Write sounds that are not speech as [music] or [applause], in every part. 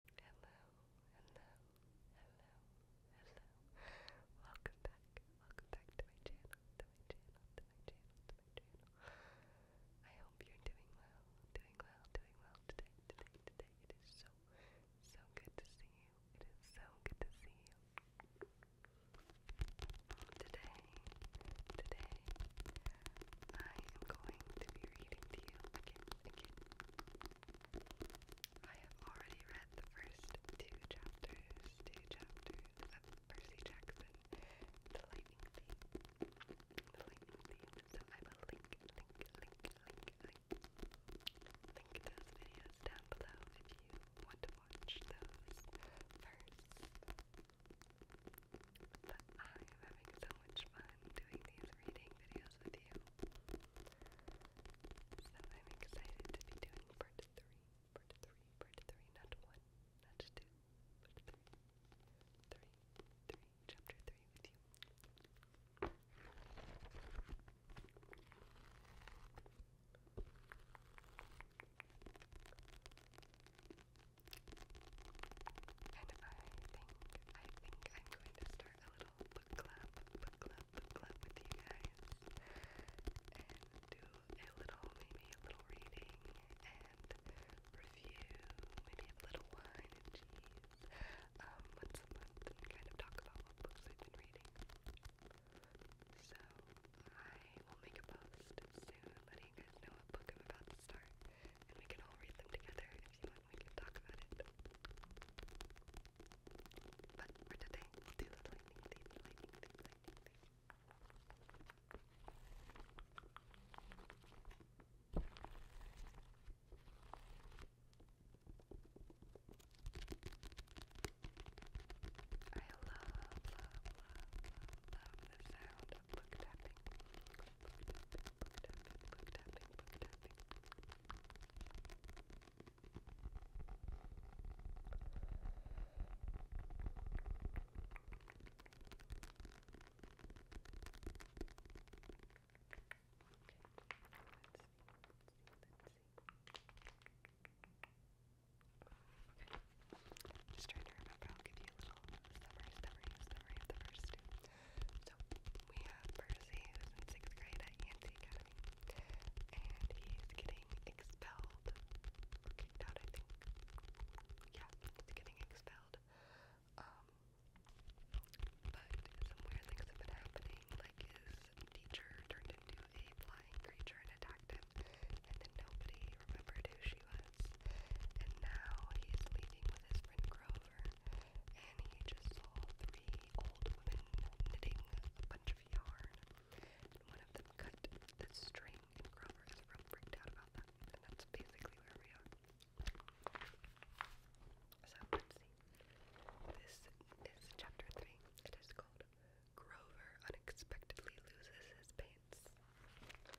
Hello, hello, hello, hello. Welcome back. Welcome back to my channel, to my channel, to my channel, to my channel. I hope you're doing well, doing well, doing well today, today, today. It is so, so good to see you. It is so good to see you. Today, today, I am going to be reading to you again, again, I have already read the first two chapters, two chapters of Percy Jackson, The Lightning Thief, The link, link, down below if you want to watch those first. I am having so much fun doing these reading videos with you. So I'm excited to be doing part three, part three, part three, not one, not two, but three, three, three, chapter three with you. And I think, I think I'm going to start a little book club, book club, book club with you guys and do a little, maybe a little reading and review, maybe have a little wine and cheese um, once a month and kind of talk about what books we've been reading. So I will make a post soon letting you guys know what book I'm about to start and we can all read them together if you want we can talk about it. But today, we'll do the lightning thing, lightning thing, lightning I love, love, love, love the sound book tapping. Book tapping, book tapping, book tapping, book tapping. Okay, let's see, let's see, let's see. Okay, just trying to remember, I'll give you so we have Percy, who's in sixth grade at Yancey Academy, and he's getting expelled kicked out, I think. Yeah, he's getting expelled. but some weird things have been happening, like his teacher turned into a flying creature and attacked him, and then nobody remembered who she was and now he leaving with his friend Grover, and he just saw three old women knitting a bunch of yarn, and one of them cut the string, and Grover is real freaked out about that, and that's basically where we are. So This is chapter three. It is called Grover Unexpectedly Loses His Pants.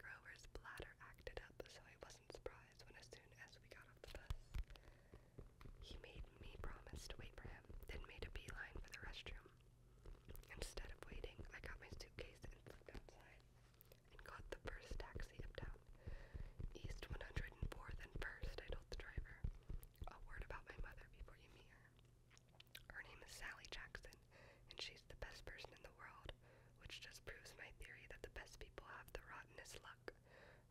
Grover's bladder acted up, so I wasn't surprised when, as soon as we got off the bus, he made me promise to wait for him, then made a beeline for the restroom. Instead of waiting, I got my suitcase and slipped outside and caught the first taxi uptown. East 104th and 1st, I told the driver. A word about my mother before you meet her. Her name is Sally Jackson, and she's the best person in the world which just proves my theory that the best people have the rottenest luck.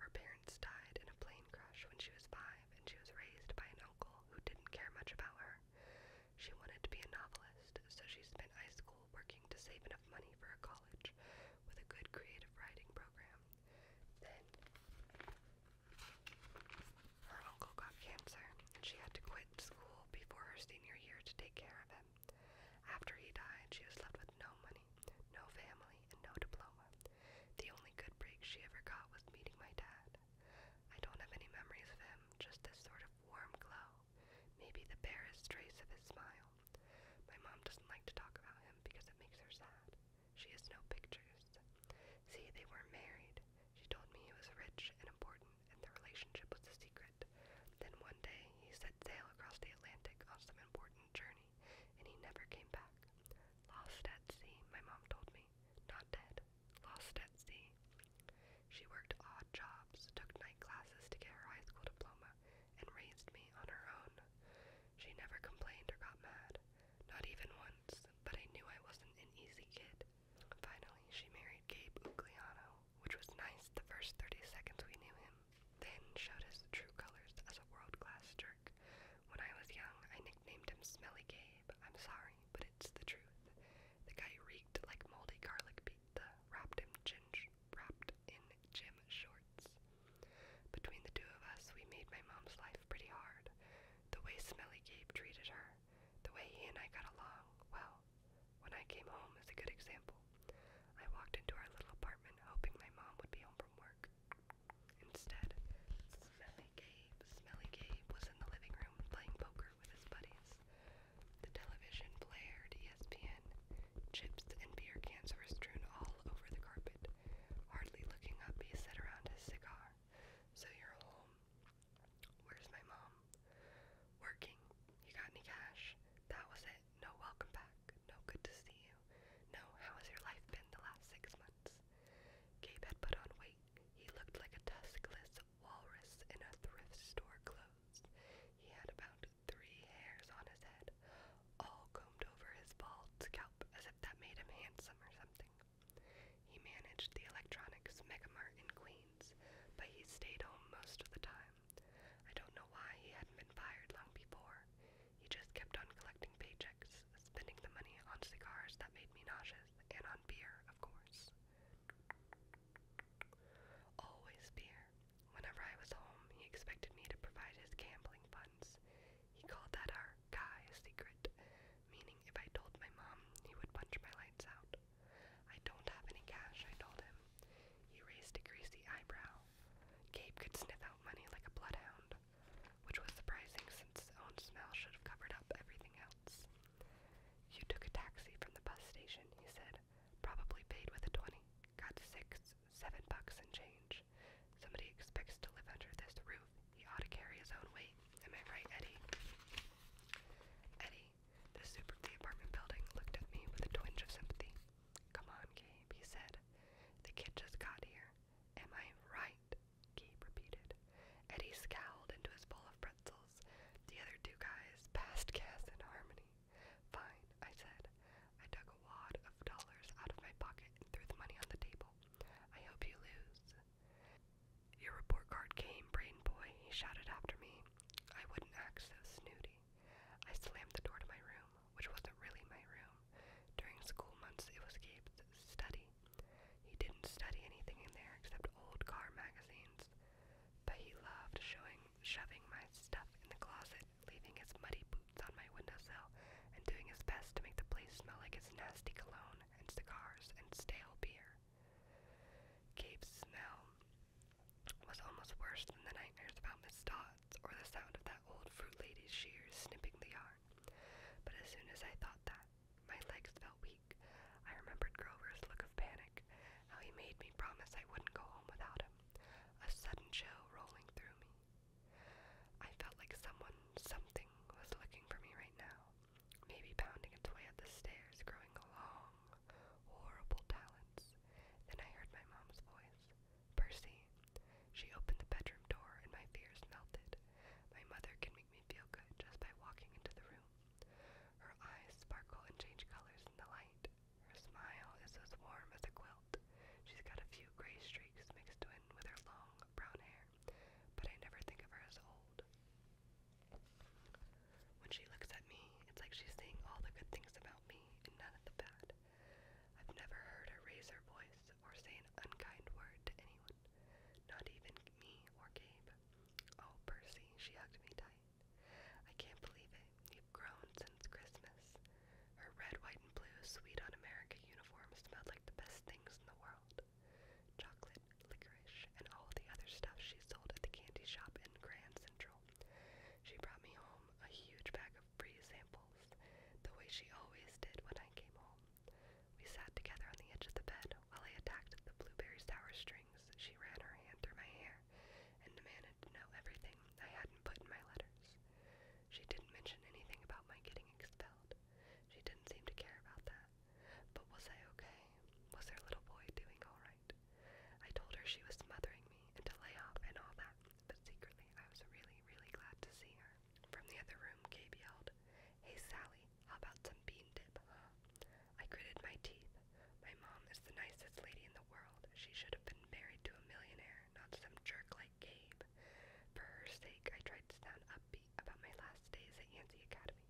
Her parents died in a plane crash when she was five, and she was raised by an uncle who didn't care much about her. She wanted to be a novelist, so she spent high school working to save enough money for a college with a good creative writing program. Then her uncle got cancer, and she had to quit school before her senior year to take care of him. After he died, she was left with no money, no family, and no diploma. The only good break she ever got was meeting my dad. I don't have any memories of him, just this sort of warm glow, maybe the barest trace of his smile. My mom doesn't like to talk about him because it makes her sad. She has no pictures. See, they were married. She told me he was rich and important and the relationship was a secret. Then one day he set sail across the Atlantic on some important journey, and he never came back. Lost at sea, my mom told me. Not dead, lost at sea. She worked odd jobs, took night classes to get her high school diploma, and raised me on her own. She never complained or got mad, not even once, but I knew I wasn't an easy kid. Finally, she married Gabe Ugliano, which was nice the first 30 seconds we knew him, then showed us true colors as a world-class jerk. When I was young, I nicknamed him Smelly Gabe. I'm sorry, but it's the truth. The guy reeked like moldy garlic pizza, wrapped in ginger wrapped in gym shorts. Between the two of us, we made my mom's life pretty hard. The way Smelly Gabe treated her, the way he and I got along, well, when I came home is a good example. I walked into our little apartment hoping my mom would be home from work. Instead, Smelly Gabe, Smelly Gabe was in the living room playing poker with his buddies. The television blared ESPN. Chips and beer cans were strewn all over the carpet. Hardly looking up, he sat around his cigar. So you're home. Where's my mom? working. You got any cash? That was it. No welcome back. No good to see you. No, how has your life been the last six months? Gabe had put on weight. He looked like a tuskless walrus in a thrift store clothes. He had about three hairs on his head, all combed over his bald scalp as if that made him handsome or something. He managed the electronics mega mart in Queens, but he stayed home most of the time. I don't know why he hadn't been fired long before. He just kept on collecting paychecks, spending the money on cigars that made me nauseous, and on beer, of course. Always beer. Whenever I was home, he expected me to provide his gambling funds. He called that our guy secret, meaning if I told my mom, he would punch my lights out. I don't have any cash, I told him. He raised a greasy eyebrow. Gabe could sniff out money like a bloodhound, which was surprising since his own smell should have covered up everything else. You took a taxi from the bus station, he said. Probably paid with a twenty. Got six, seven bucks and change. Somebody expects to live under this roof. He ought to carry his own weight. Am I right, Eddie? Eddie, the soup of the apartment building looked at me with a twinge of sympathy. Come on, Gabe, he said. The kid just got here. Am I right? Gabe repeated. Eddie scowled into his bowl of pretzels. The other two guys passed gas and harmony. Fine, I said. I dug a wad of dollars out of my pocket and threw the money on the table. I hope you lose. Your report card came, brain boy, he shouted after me. I wouldn't act so snooty. I slammed the door to my room, which wasn't really my room. During school months, it was Gabe's study. He didn't study anything in there except old car magazines, but he loved showing, shoving my stuff in the closet, leaving his muddy boots on my windowsill, and doing his best to make the place smell like his nasty cologne and cigars and stale beer. Gabe's smell was almost worse than the nightmares about Miss Dodds or the sound of that old fruit lady's shears snipping the yarn. But as soon as I thought that, my legs felt weak. I remembered Grover's look of panic, how he made me promise I wouldn't go home without him, a sudden chill rolling through me. I felt like someone, something, was looking for me right now maybe pounding its way up the stairs, growing long, horrible talons. Then I heard my mom's voice. Percy. She opened the bedroom door and my fears melted. My mother can make me feel good just by walking into the room. Her eyes sparkle and change colors in the light. Her smile is as warm as a quilt. She's got a few gray streaks mixed in with her long brown hair, but I never think of her as old. When she looks at me, it's like she's saying all the good things about me and none of the bad. I've never heard her raise her voice or say an unkind word to anyone, not even me or Gabe. Oh, Percy, she hugged me tight. I can't believe it. You've grown since Christmas. Her red, white, and blue Sweet on America uniform smelled like the best things in the world chocolate, licorice, and all the other stuff she sold at the candy shop in Grand Central. She brought me home a huge bag of free samples, the way she always did when I came home. We sat together on the edge of the bed while I attacked the blueberry sour strings. She ran her hand through my hair and demanded to know everything I hadn't put in my letters. She didn't mention anything about my getting expelled. She didn't seem to care about that. But was I okay? Was her little boy doing alright? I told her she was smothering me and to lay off and all that, but secretly I was really, really glad to see her. From the other room, Gabe yelled, Hey Sally, how about some bean dip, I gritted my teeth. My mom is the nicest lady in the world. She should have been married to a millionaire, not some jerk like Gabe. For her sake, I tried to sound upbeat about my last days at Yancey Academy.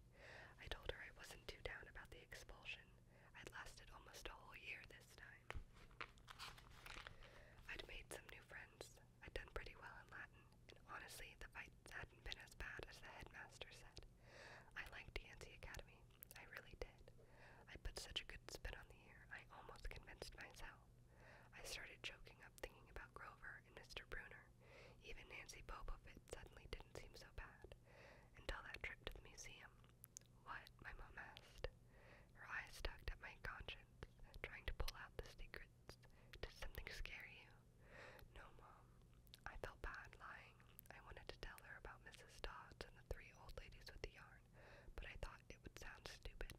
I told her I wasn't too down about the expulsion. It lasted almost a whole year this time. I'd made some new friends. I'd done pretty well in Latin, and honestly, the fights hadn't been as bad as the headmaster said. I liked Yancey Academy. I really did. I put such a good spin on the year, I almost convinced myself. I started choking up thinking about Grover and Mr. Bruner. Even Nancy Bobovit suddenly didn't seem so bad, until that trip to the museum. What? my mom asked. Her eyes tugged at my conscience, trying to pull out the secrets. Did something scare you? No, Mom. I felt bad lying. I wanted to tell her about Mrs. Dodds and the three old ladies with the yarn, but I thought it would sound stupid.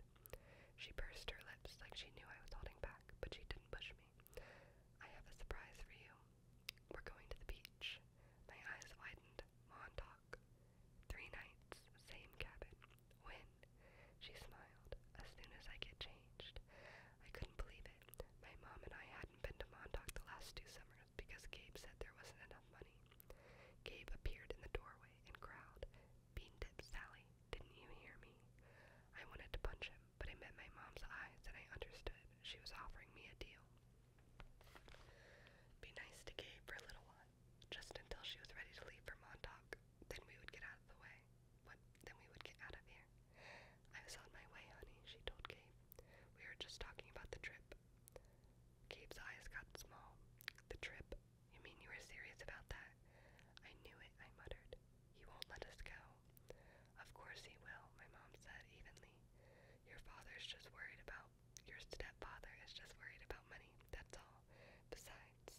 She pursed her lips like she knew I was holding back, but she didn't push me. I have a surprise for you. We're going to the beach. My eyes widened. Montauk. Three nights, same cabin. When? She smiled. As soon as I get changed. I couldn't believe it. My mom and I hadn't been to Montauk the last two summers because Gabe said there wasn't enough money. Gabe appeared in the doorway and growled, Bean dip Sally, didn't you hear me? I wanted to punch him, but I met my mom's eyes and I understood she was offering me a deal. Be nice to Gabe for a little while, just until she was ready to leave for Montauk. Then we would get out of the way. What? Then we would get out of here. I was on my way, honey, she told Gabe. We were just talking about the trip. Gabe's eyes got small. The trip? You mean you were serious about that? I knew it, I muttered. He won't let us go. Of course he will, my mom said evenly. Your father's just worried about, your stepfather is just worried about money, that's all. Besides,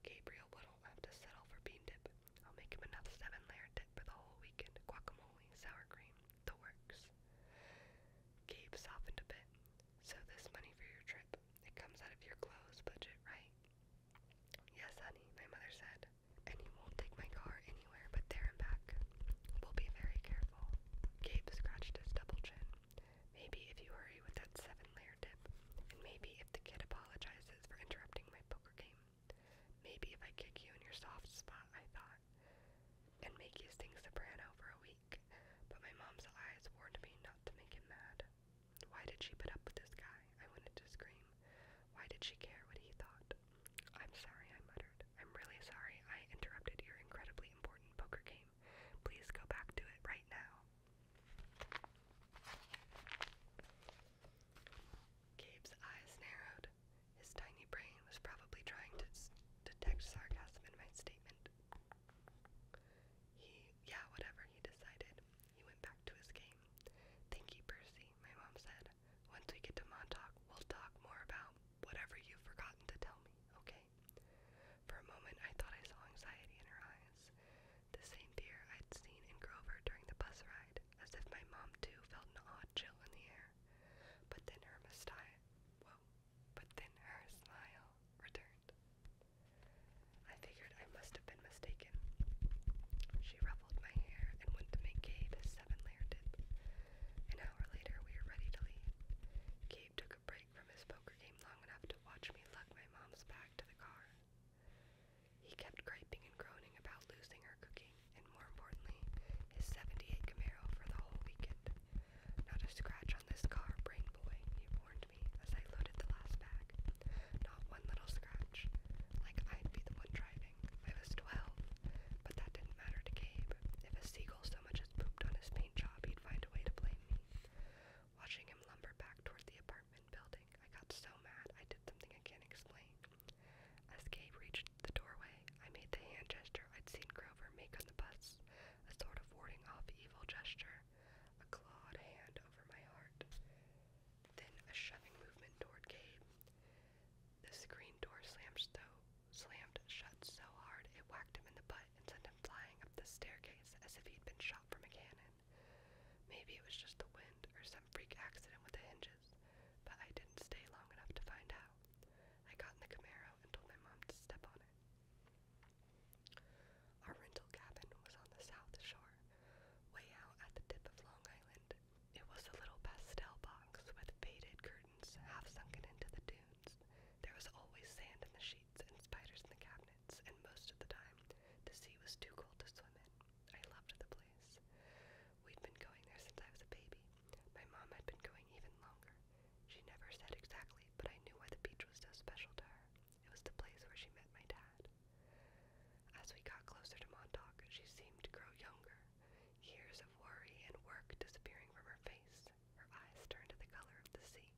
Gabriel wouldn't have to settle for bean dip. I'll make him enough seven layer dip for the whole weekend. Guacamole, sour cream, the works. Gabe softened a bit. So this money for your trip, it comes out of your clothes budget, right? Yes, honey, my mother said and he won't take my car anywhere but there and back. We'll be very careful. Gabe scratched his double chin. Maybe if you hurry with that seven layer dip, and maybe if the kid apologizes for interrupting my poker game. Maybe if I kick you in your soft spot, I thought, and make you sing soprano for a week. But my mom's eyes warned me not to make him mad. Why did she put up with this guy? I wanted to scream. Why did she care what he thought? I'm sorry, I muttered. I'm really sorry I interrupted your incredibly important poker game. Please go back to it right now. Gabe's eyes narrowed. His tiny brain was probably trying to detect sarcasm in my statement. He, yeah, whatever, he decided. He went back to his game. Thank you, Percy, my mom said. Once we get to Montauk, we'll talk more about whatever you've forgotten to tell me, okay? For a moment, I thought I saw anxiety in her eyes. The same fear I'd seen in Grover during the bus ride, as if my mom, too, felt an odd chill in the air. But then her mustache, well, but then her smile returned. I figured I must have been mistaken. She ruffled my hair and went to make Gabe his seven-layer dip. An hour later, we were ready to leave. Gabe took a break from his poker game long enough to watch me lug my mom's bag to the car. He kept griping and groaning about losing her cooking, and more importantly, his 78 Camaro for the whole weekend. Not a scratch on this car, brain boy, he warned me as I loaded the last bag not one little scratch. Like I'd be the one driving. I was 12, but that didn't matter to Gabe. If a seagull so much as pooped on his paint job, he'd find a way to blame me. Watching him lumber back toward the apartment building, I got so mad I did something I can't explain. As Gabe reached the doorway, I made the hand gesture I'd seen Grover make on the bus, a sort of warding off evil gesture, a clawed hand over my heart. Then a shoving movement toward Gabe. The screen door slammed, so, slammed shut so hard it whacked him in the butt and sent him flying up the staircase as if he'd been shot from a cannon. Maybe it was just the wind or some freak accident with the hinges, but I didn't stay long enough to find out. I got in the Camaro and told my mom to step on it. Our rental cabin was on the south shore way out at the tip of Long Island. It was a little pastel box with faded curtains half sunken into the dunes. There was always sand in the sheets and spiders in the cabinets, and most of the time the sea was too cold to swim in. I loved the place. We'd been going there since I was a baby. My mom had been going even longer. She never said exactly, but I knew why the beach was so special to her. It was the place where she met my dad. As we got closer to Montauk, she seemed to grow younger, years of worry and work disappearing from her face. Her eyes turned to the color of the sea.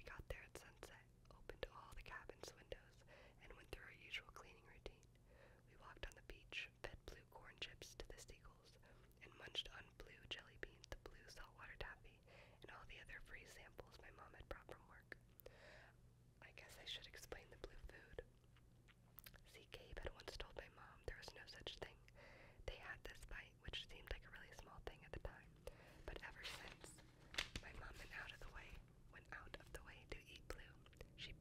We got there at sunset, opened all the cabin's windows, and went through our usual cleaning routine. We walked on the beach, fed blue corn chips to the seagulls, and munched on blue jelly beans, the blue saltwater taffy, and all the other free samples my mom had brought from work. I guess I should explain the blue food. See, Gabe had once told my mom there was no such thing. They had this fight, which seemed like a really small thing at the time, but ever since, my mom went out of the way, went out of the way to eat blue. She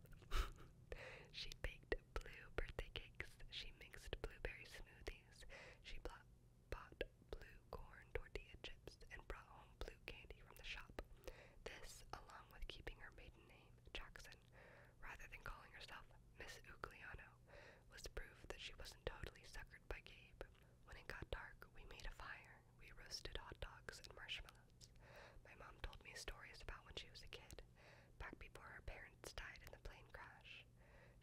[laughs] she baked blue birthday cakes. She mixed blueberry smoothies. She bought bought blue corn tortilla chips and brought home blue candy from the shop. This, along with keeping her maiden name, Jackson, rather than calling herself Miss Ugliano, was proof that she wasn't totally suckered by Gabe. When it got dark, we made a fire. We roasted hot dogs and marshmallows. My mom told me stories about when she was a kid, back before her parents died in the plane crash.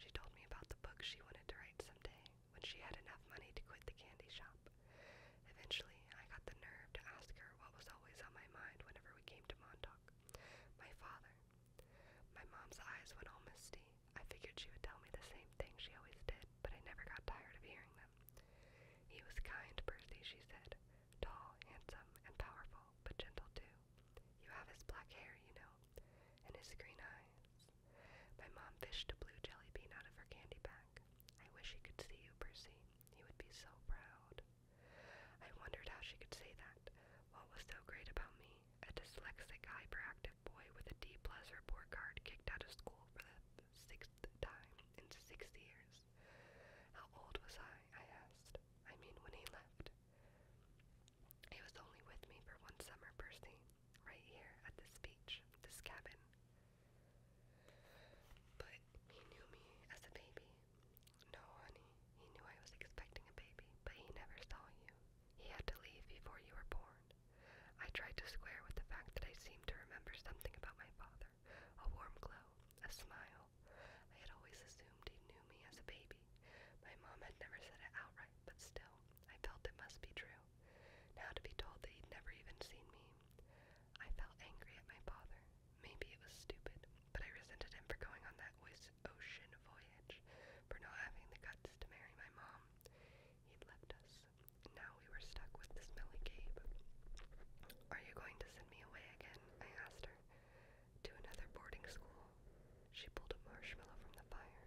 She told me about the book she wanted to write someday, when she had enough money to quit the candy shop. Eventually, I got the nerve to ask her what was always on my mind whenever we came to Montauk my father. My mom's eyes went all misty. I figured she would tell me the same thing she always did, but I never got tired of hearing them. He was kind, Percy, she said. Tall, handsome, and powerful, but gentle too. You have his black hair, you know, and his green eyes. My mom fished a blue jelly bean out of her candy bag. I wish he could see you, Percy. He would be so proud. I wondered how she could say that. What was so great about me? A dyslexic, hyperactive boy with a D plus report card kicked out of school for the sixth time in six years. How old was I? I asked. I mean, when he left. He was only with me for one summer, Percy right here at this beach, this cabin. But he knew me as a baby. No, honey, he knew I was expecting a baby, but he never saw you. He had to leave before you were born. I tried to square with the fact that I seemed to remember something about my father a warm glow, a smile. I had always assumed he knew me as a baby. My mom had never said it outright, but still, I felt it must be true. Now to be told that he'd never even seen me. I felt angry at my father. Maybe it was stupid, but I resented him for going on that ocean voyage, for not having the guts to marry my mom. He'd left us. Now we were stuck with the smelly Gabe. Are you going to send me away again? I asked her. To another boarding school. She pulled a marshmallow from the fire.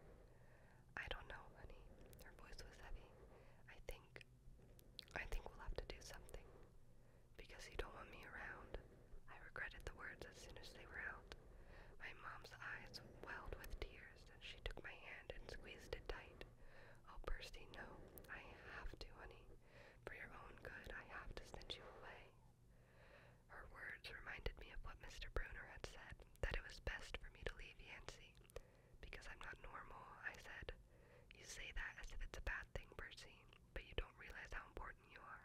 I don't know, honey. Her voice was heavy. I think, I think we'll have to do something. Because you don't want me around. I regretted the words as soon as they were out. My mom's eyes welled with tears, and she took my hand and squeezed it tight. Oh, Percy, no, I have to, honey. For your own good, I have to send you away. Her words reminded me of what Mr. Bruner had said, that it was best for me to leave Yancey. Because I'm not normal, I said. You say that as if it's a bad thing, Percy, but you don't realize how important you are.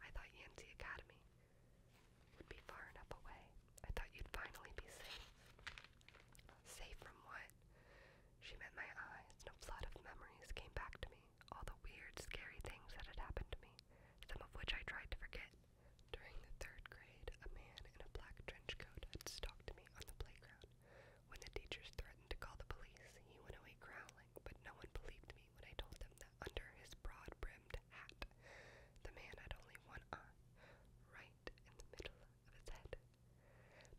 I thought Yancey Academy would be far enough away. I thought you'd finally be safe. Safe from what? She met my eyes, and a flood of memories came back to me. All the weird, scary things that had happened to me, some of which I tried to forget. During the third grade, a man in a black trench coat had stalked me on the playground. When the teachers threatened to call the police, he went away growling, but no one believed me when I told them that under his broad brimmed hat, the man had only one eye, right in the middle of his head.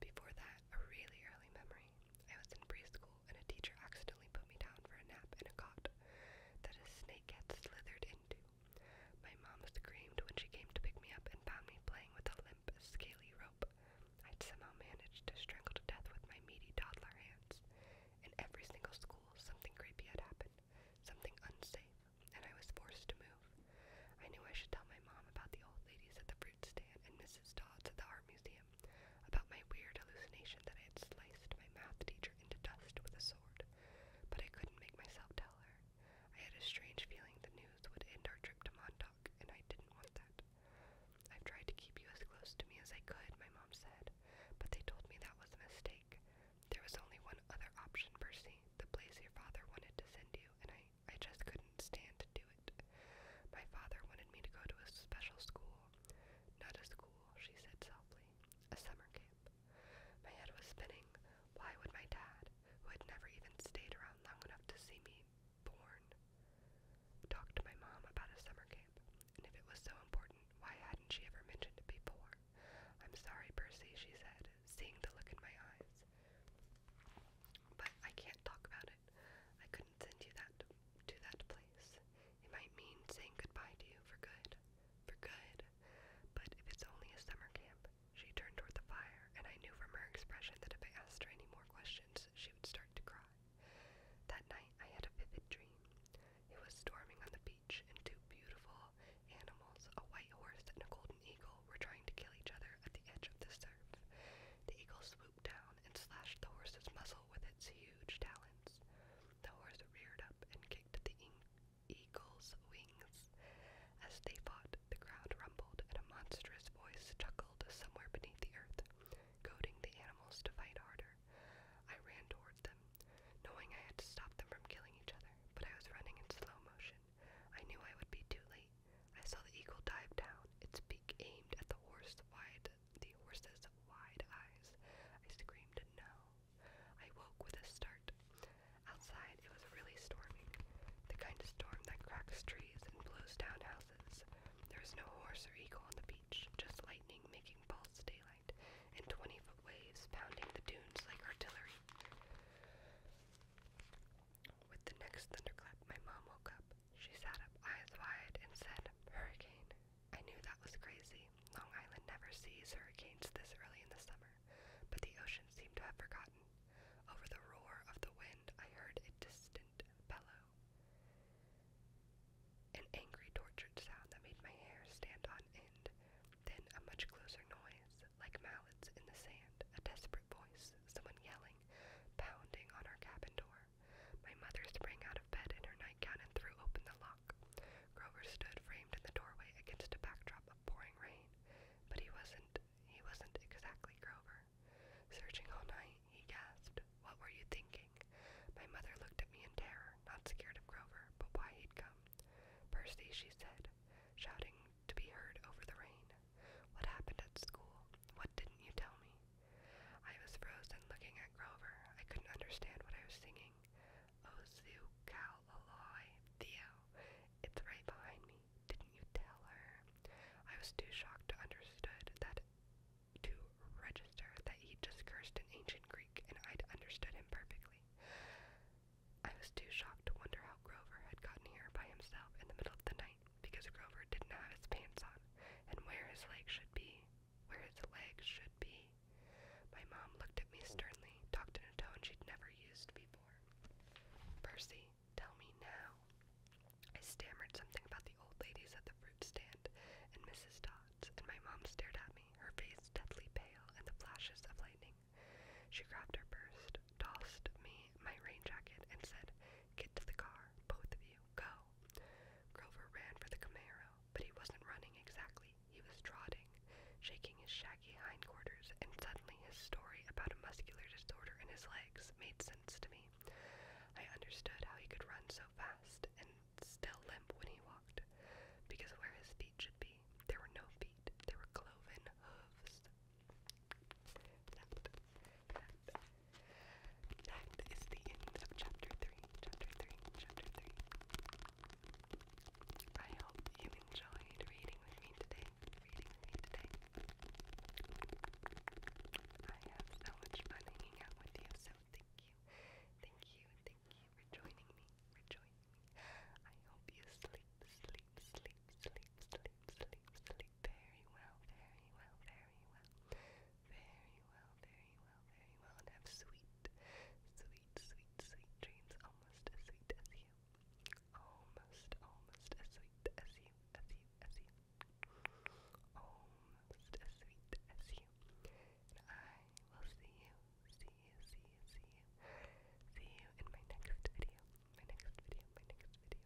Before that, a really early memory. I was in preschool and a teacher accidentally put me down for a nap in a cot that a snake had slithered into. My mom screamed when she came to pick me up and found me playing with a limp, scaly rope. I'd somehow managed to strangle to death with my meaty toddler hands. In every single school, something creepy had happened, something unsafe, and I was forced to move. I knew I should tell my mom about the old ladies at the fruit stand and Mrs. Dodds at the art museum, about my weird hallucination that I had sliced my math teacher into dust with a sword but I couldn't make myself tell her. I had a strange feeling the news would end our trip to Montauk, and I didn't want that. I've tried to keep you as close to me as I could, my mom said, but they told me that was a mistake. There was only one other option, Percy, the place your father wanted to send you, and I, I just couldn't stand to do it. My father wanted me to go to a special school. Not a school, she said softly, a summer camp. My head was spinning. Why would my dad, who had never even stayed around long enough to see me born, talk to my mom about a summer camp? And if it was so important, why hadn't she ever mentioned it before? I'm sorry, Percy, she said, seeing the look in my eyes. But I can't talk about it. I couldn't send you that to that place. It might mean saying goodbye to you for good. For good. But if it's only a summer camp, she turned toward the fire, and I knew from her expression that if I asked her any more questions, she would start to cry. That night, I had a vivid dream. It was storming on the beach, and two beautiful animals, a white horse and a golden eagle, were trying to kill each other at the edge of the surf. The eagle swooped down and slashed the horse's muzzle with its huge talons. The horse reared up and kicked the eagle's wings. As they fought, the crowd rumbled and a monstrous voice chuckled somewhere beneath the earth, goading the animals to fight harder. I ran toward them, knowing I had to stop them from killing each other, but I was running in slow motion. I knew I would be too late. I saw the eagle dive down, its beak aimed at the horse wide the horse's wide eyes. I screamed no. I woke with a start. Outside, it was really storming. The kind of storm that cracks trees and blows down houses. There was no horse or eagle on the beach, just lightning making false daylight, and 20 foot waves pounding the dunes like artillery. With the next thunderclap, my mom woke up. She sat up, eyes wide, and said, Hurricane, I knew that was crazy. Long Island never sees hurricanes this early in the summer, but the ocean seemed to have forgotten. Over the roar of the wind, I heard a distant bellow. An angry, tortured sound that made my hair stand on end. Then a much closer noise, like mallets in the sand, a desperate voice, someone yelling, pounding on our cabin door. My mother sprang out of bed in her nightgown and threw open the lock. Grover stood framed in the doorway against a backdrop of pouring rain, but he wasn't he wasn't exactly Grover. Searching all night, he gasped, What were you thinking? My mother looked at me in terror, not scared of Grover, but why he'd come. Percy, she said, shouting to be heard over the rain. What happened at school? What didn't you tell me? I was frozen looking at Grover. I couldn't understand what I was singing. Ozu oh, Kal Theo. It's right behind me. Didn't you tell her? I was too shocked to understand that to register that he'd just cursed in ancient Greek and I'd understood him perfectly. I was too shocked to wonder how Grover had gotten here by himself in the middle of the night because Grover didn't have his pants on and where his legs should be where its legs should be. My mom looked at me sternly, talked in a tone she'd never used before. Percy, tell me now. I stammered something about the old ladies at the fruit stand and Mrs. Dodds, and my mom stared at me, her face deathly pale and the flashes of lightning. She grabbed her purse, tossed me my rain jacket, and said, Get to the car, both of you, go. Grover ran for the Camaro but he wasn't running exactly. He was trotting, shaking his shaggy hindquarters, and suddenly his story about a muscular disorder in his legs made sense to me. I understood how he could run so fast and still limp when he walked, because where his feet should be, there were no feet, there were cloven hooves. That is the end of chapter 3. Chapter 3. Chapter 3. I hope you enjoyed reading with me today. Reading with me today. I have so much fun hanging out with so thank you. Thank you. Thank you for joining me. For joining me. I hope you sleep, sleep, sleep, sleep, sleep, sleep, sleep very well, very well, very well. Very well, very very well, very well, and have sweet, sweet, sweet, sweet dreams, almost as sweet as you. Almost, almost as sweet as you, as you, as you. Almost as sweet as you. And I will see you, see you, see you, see you, see you in my next video, my next video, my next video.